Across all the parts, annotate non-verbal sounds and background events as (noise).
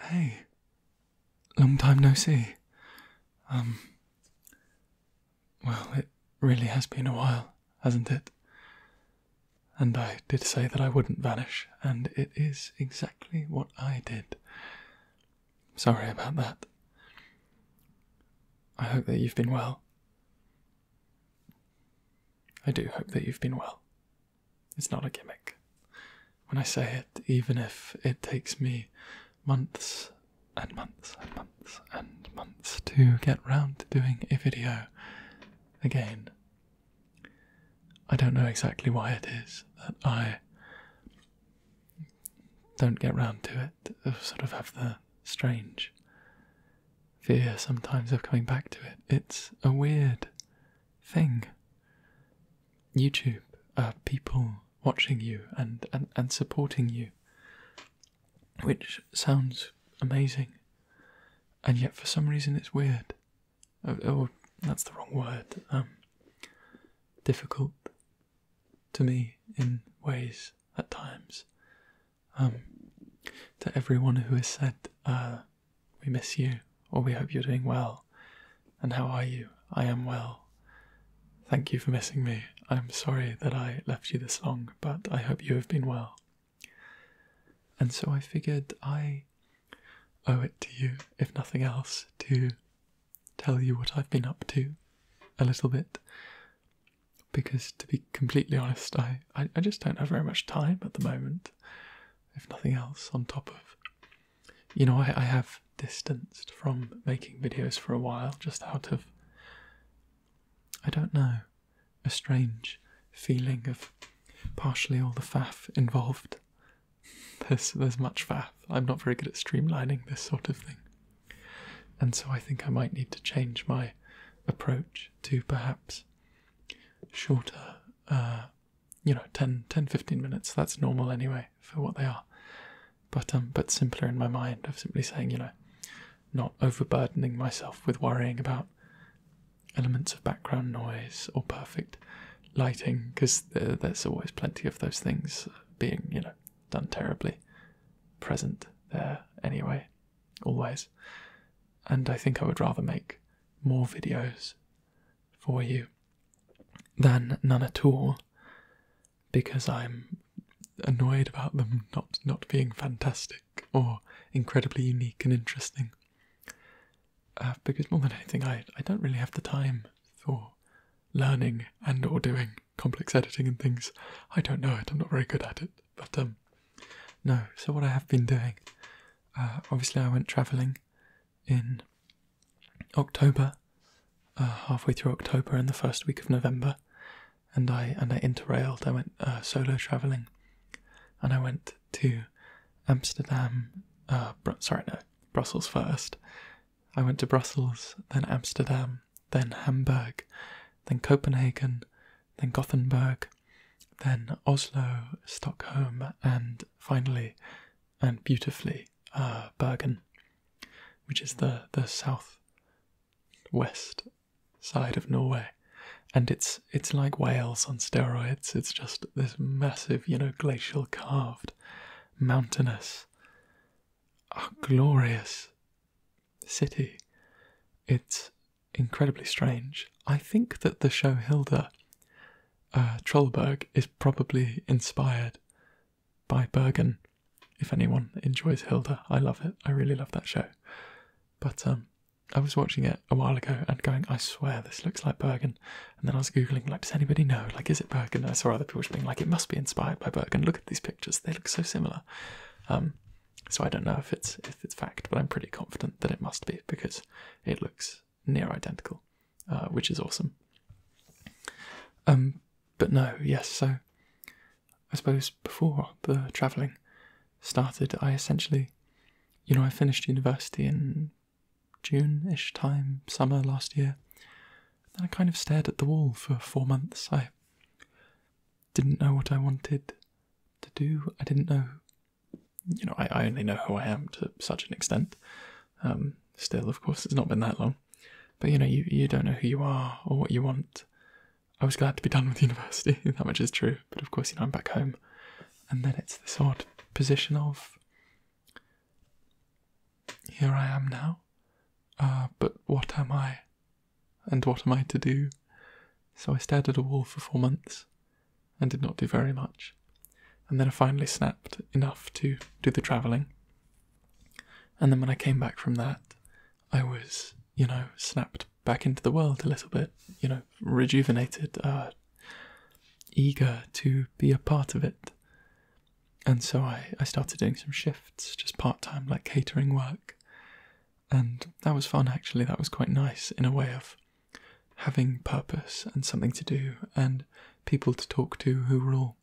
Hey, long time no see. Um, well, it really has been a while, hasn't it? And I did say that I wouldn't vanish, and it is exactly what I did. Sorry about that. I hope that you've been well. I do hope that you've been well. It's not a gimmick. When I say it, even if it takes me months and months and months and months to get round to doing a video again, I don't know exactly why it is that I don't get round to it. I sort of have the strange fear sometimes of coming back to it. It's a weird thing. YouTube, uh, people watching you and, and, and supporting you, which sounds amazing. And yet, for some reason, it's weird. Uh, or, oh, that's the wrong word. Um, difficult to me in ways at times. Um, to everyone who has said, uh, we miss you, or we hope you're doing well. And how are you? I am well. Thank you for missing me. I'm sorry that I left you this long, but I hope you have been well. And so I figured I owe it to you, if nothing else, to tell you what I've been up to a little bit. Because to be completely honest, I, I, just don't have very much time at the moment, if nothing else, on top of you know, I, have distanced from making videos for a while just out of, I don't know, a strange feeling of partially all the faff involved. There's, there's much faff. I'm not very good at streamlining this sort of thing. And so I think I might need to change my approach to perhaps shorter uh, you know 10 10 15 minutes that's normal anyway for what they are but um but simpler in my mind of simply saying you know not overburdening myself with worrying about elements of background noise or perfect lighting because there's always plenty of those things being you know done terribly present there anyway always and i think i would rather make more videos for you than none at all because I'm annoyed about them not not being fantastic or incredibly unique and interesting. Uh, because more than anything, I I don't really have the time for learning and or doing complex editing and things. I don't know it. I'm not very good at it. But um, no. So what I have been doing, uh, obviously I went travelling in October, uh, halfway through October and the first week of November, and I and I interrailed. I went uh, solo traveling, and I went to Amsterdam. Uh, sorry, no, Brussels first. I went to Brussels, then Amsterdam, then Hamburg, then Copenhagen, then Gothenburg, then Oslo, Stockholm, and finally and beautifully uh, Bergen, which is the the south west side of Norway, and it's it's like Wales on steroids. It's just this massive, you know, glacial carved, mountainous, uh, glorious city. It's incredibly strange. I think that the show Hilda uh, Trollberg is probably inspired by Bergen. If anyone enjoys Hilda, I love it. I really love that show. But um, I was watching it a while ago and going, I swear this looks like Bergen. And then I was googling, like, does anybody know? Like, is it Bergen? I saw other people being like, it must be inspired by Bergen. Look at these pictures; they look so similar. Um, so I don't know if it's if it's fact, but I'm pretty confident that it must be because it looks near identical, uh, which is awesome. Um, but no, yes, so I suppose before the travelling started, I essentially, you know, I finished university in June ish time, summer last year. Then I kind of stared at the wall for four months. I didn't know what I wanted to do. I didn't know, you know, I, I only know who I am to such an extent. Um, still, of course, it's not been that long. But you know, you, you don't know who you are or what you want. I was glad to be done with (laughs) university, that much is true. But of course, you know, I'm back home. And then it's this odd position of here I am now. Uh, but what am I? And what am I to do? So I stared at a wall for four months and did not do very much and then I finally snapped enough to do the travelling. And then when I came back from that, I was, you know, snapped back into the world a little bit, you know, rejuvenated, uh, eager to be a part of it. And so I, I started doing some shifts, just part time, like catering work. And that was fun, actually. That was quite nice in a way of having purpose and something to do and people to talk to who were all,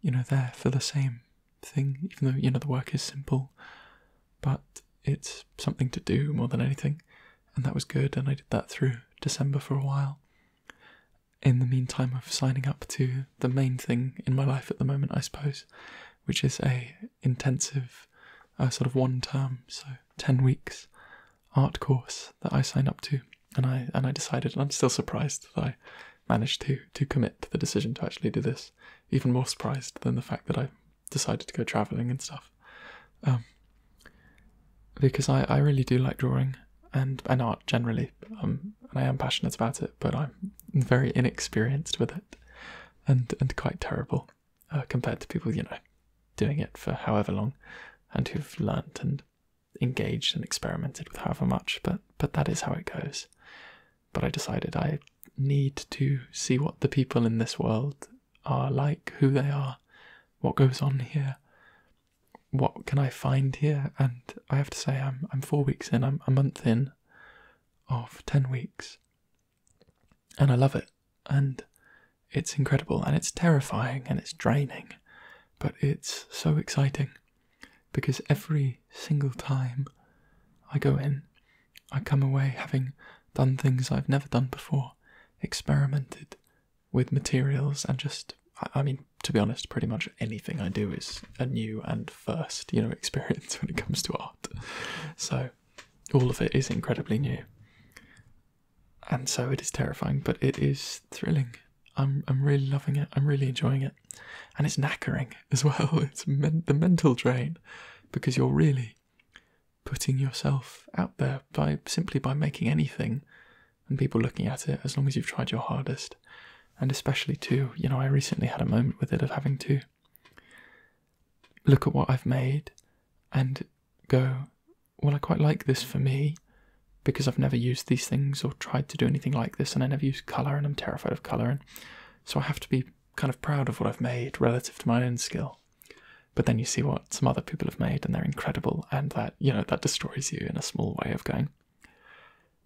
you know, there for the same thing, even though, you know, the work is simple, but it's something to do more than anything. And that was good, and I did that through December for a while. In the meantime, I of signing up to the main thing in my life at the moment, I suppose, which is a intensive, uh, sort of one term, so ten weeks art course that I sign up to, and I and I decided, and I'm still surprised that I managed to to commit to the decision to actually do this. Even more surprised than the fact that I decided to go traveling and stuff, um, because I I really do like drawing and and art generally, um, and I am passionate about it, but I'm very inexperienced with it, and and quite terrible uh, compared to people you know doing it for however long, and who've learnt and engaged and experimented with however much, but but that is how it goes. But I decided I need to see what the people in this world are like, who they are, what goes on here, what can I find here, and I have to say I'm I'm four weeks in, I'm a month in of ten weeks. And I love it. And it's incredible and it's terrifying and it's draining but it's so exciting because every single time I go in, I come away having done things I've never done before, experimented with materials, and just, I, mean, to be honest, pretty much anything I do is a new and first, you know, (laughs) experience when it comes to art. So all of it is incredibly new. And so it is terrifying, but it is thrilling I'm I'm really loving it. I'm really enjoying it, and it's knackering (laughs) as well. It's the mental drain because you're really putting yourself out there by simply by making anything, and people looking at it as long as you've tried your hardest, and especially too. You know, I recently had a moment with it of having to look at what I've made and go well, I quite like this for me because I've never used these things or tried to do anything like this, and I never use colour, and I'm terrified of colour, and so I have to be kind of proud of what I've made relative to my own skill. But then you see what some other people have made, and they're incredible, and that you know that destroys you in a small way of going,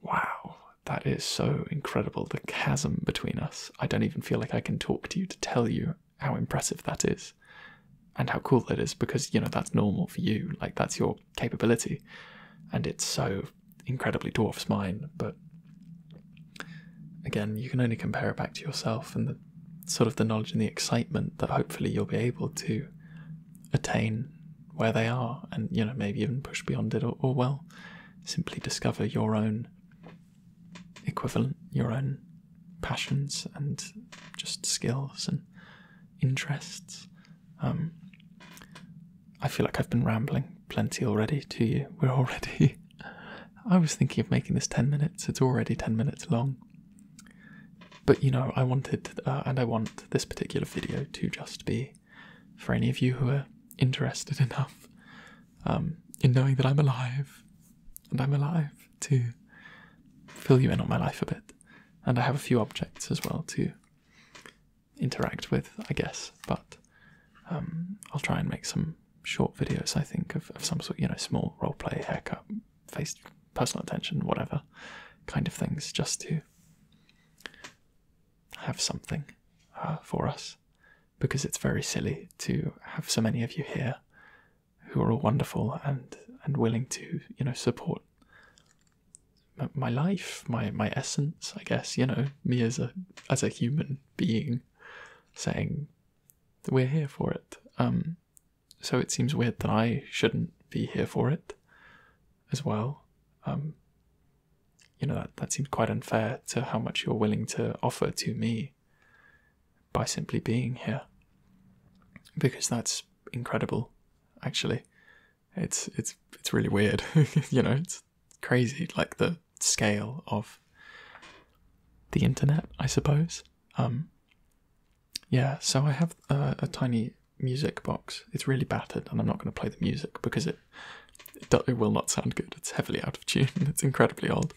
wow, that is so incredible. The chasm between us. I don't even feel like I can talk to you to tell you how impressive that is and how cool that is because you know that's normal for you like that's your capability, and it's so incredibly dwarfs mine. But again, you can only compare it back to yourself and sort of the knowledge and the excitement that hopefully you'll be able to attain where they are, and you know maybe even push beyond it, or well, simply discover your own equivalent, your own passions and just skills and interests um, I feel like I've been rambling plenty already to you. (laughs) We're already. I was thinking of making this 10 minutes, it's already 10 minutes long. But you know, I wanted uh, and I want this particular video to just be for any of you who are interested (laughs) enough um, in knowing that I'm alive and I'm alive to fill you in on my life a bit. And I have a few objects as well too interact with, I guess. But um, I'll try and make some short videos. I think of, some sort, you know, small role play, haircut, face, personal attention, whatever kind of things, just to have something uh, for us, because it's very silly to have so many of you here who are all wonderful and and willing to you know support my life, my my essence, I guess, you know, me as a as a human being saying that we're here for it. Um, so it seems weird that I shouldn't be here for it as well. Um, you know that that seems quite unfair to how much you're willing to offer to me by simply being here. Because that's incredible, actually. It's it's it's really weird, (laughs) you know. It's crazy, like the scale of the internet, I suppose. Um, yeah, so I have a, tiny music box. It's really battered, and I'm not going to play the music because it, it will not sound good. It's heavily out of tune. (laughs) It's incredibly old,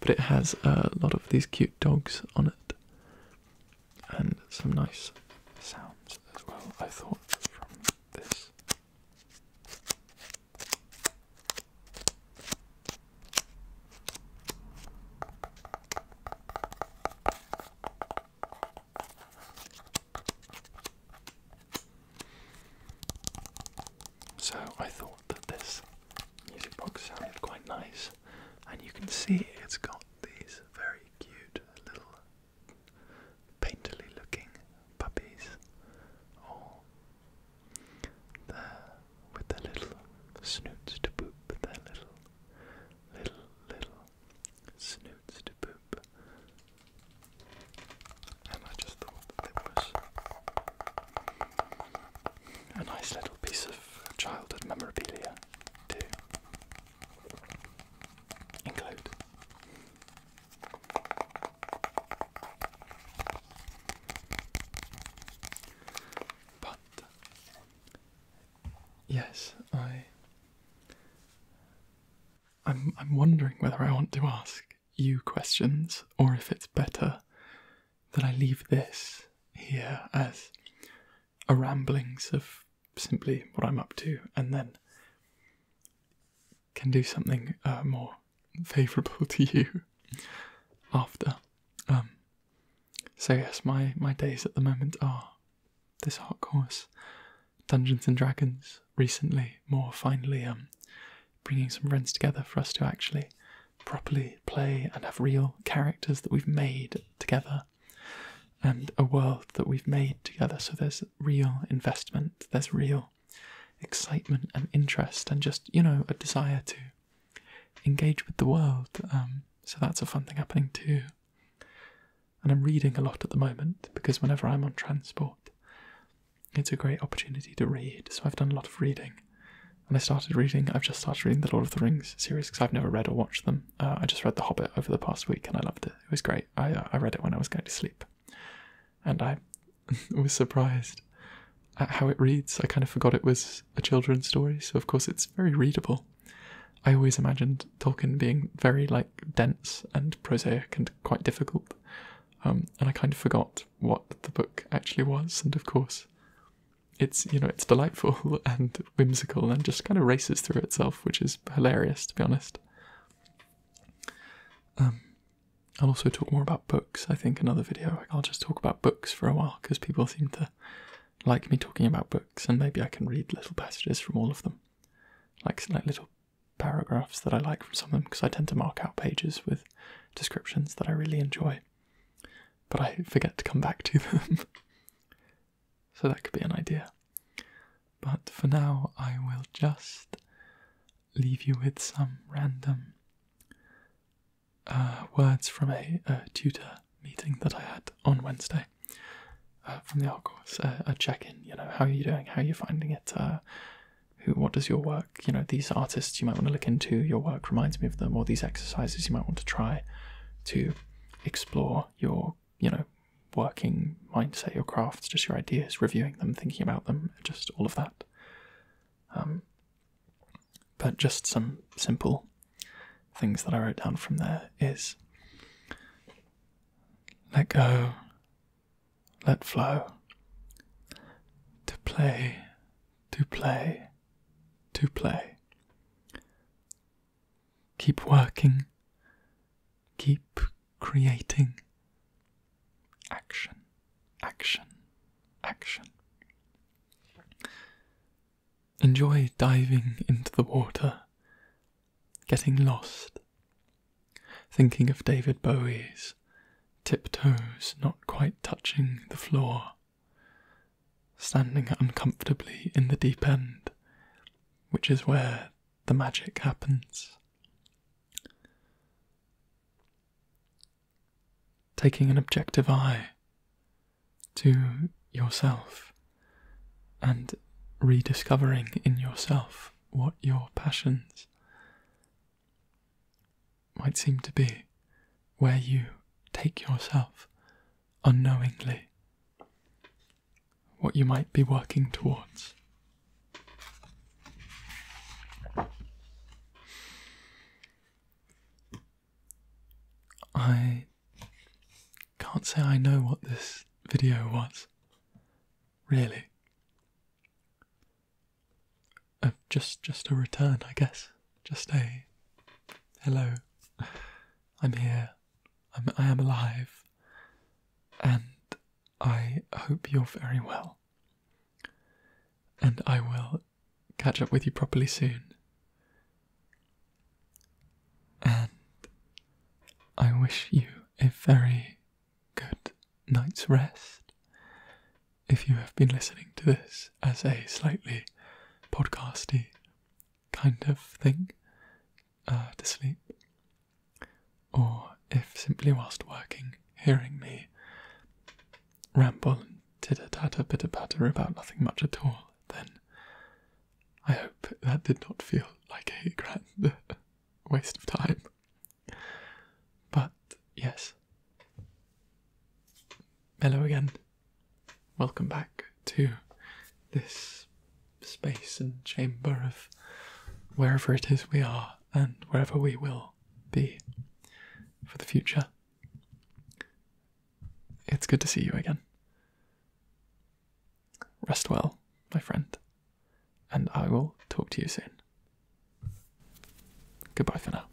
but it has a lot of these cute dogs on it and some nice sounds as well, I thought, from this. So I thought that this music box sounded quite nice, and you can see it's got these very cute little painterly looking puppies, all there with their little snoots to boop, their little, little, little snoots to boop. And I just thought that was a nice little piece of childhood memorabilia, too include. But yes, I I'm I'm wondering whether I want to ask you questions or if it's better that I leave this here as a ramblings of simply what I'm up to, and then can do something uh, more favourable (laughs) to you after. Um, so yes, my my days at the moment are this art course, Dungeons and Dragons. Recently, more finally, um, bringing some friends together for us to actually properly play and have real characters that we've made together and a world that we've made together. So there's real investment, there's real excitement and interest, and just, you know, a desire to engage with the world. Um, so that's a fun thing happening too. And I'm reading a lot at the moment because whenever I'm on transport, it's a great opportunity to read. So I've done a lot of reading. And I started reading, I've just started reading the Lord of the Rings series because I've never read or watched them. Uh, I just read The Hobbit over the past week and I loved it. It was great. I uh, I read it when I was going to sleep, and I (laughs) was surprised at how it reads. I kind of forgot it was a children's story, so of course it's very readable. I always imagined Tolkien being very like dense and prosaic and quite difficult, um, and I kind of forgot what the book actually was. And of course, it's you know it's delightful (laughs) and whimsical and just kind of races through itself, which is hilarious, to be honest. Um, I'll also talk more about books, I think, another video. I'll just talk about books for a while because people seem to like me talking about books, and maybe I can read little passages from all of them, like, like little paragraphs that I like from some of them because I tend to mark out pages with descriptions that I really enjoy, but I forget to come back to them. (laughs) So that could be an idea. But for now, I will just leave you with some random uh, words from a, tutor meeting that I had on Wednesday uh, from the art course. Uh, a check in, you know, how are you doing? How are you finding it? who, what does your work, you know, these artists you might want to look into, your work reminds me of them, or these exercises you might want to try to explore your you know, working mindset, your crafts, just your ideas, reviewing them, thinking about them, just all of that. Um, but just some simple things that I wrote down from there is let go, let flow, to play, to play, to play, Keep working. Keep creating. Action, action, action. Enjoy diving into the water, getting lost, thinking of David Bowie's tiptoes not quite touching the floor, standing uncomfortably in the deep end, which is where the magic happens. Taking an objective eye to yourself and rediscovering in yourself what your passions might seem to be, where you take yourself unknowingly what you might be working towards. I can't say I know what this video was, really. Uh, just, just a return, I guess. Just a hello. I'm here. I'm, I am alive and I hope you're very well. And I will catch up with you properly soon. And I wish you a very good night's rest. If you have been listening to this as a slightly podcasty kind of thing uh, to sleep, or if simply whilst working, hearing me ramble and titter tatter, pitter patter about nothing much at all, then I hope that did not feel like a grand (laughs) waste of time. But yes. Hello again. Welcome back to this space and chamber of wherever it is we are and wherever we will be for the future. It's good to see you again. Rest well, my friend, and I will talk to you soon. Goodbye for now.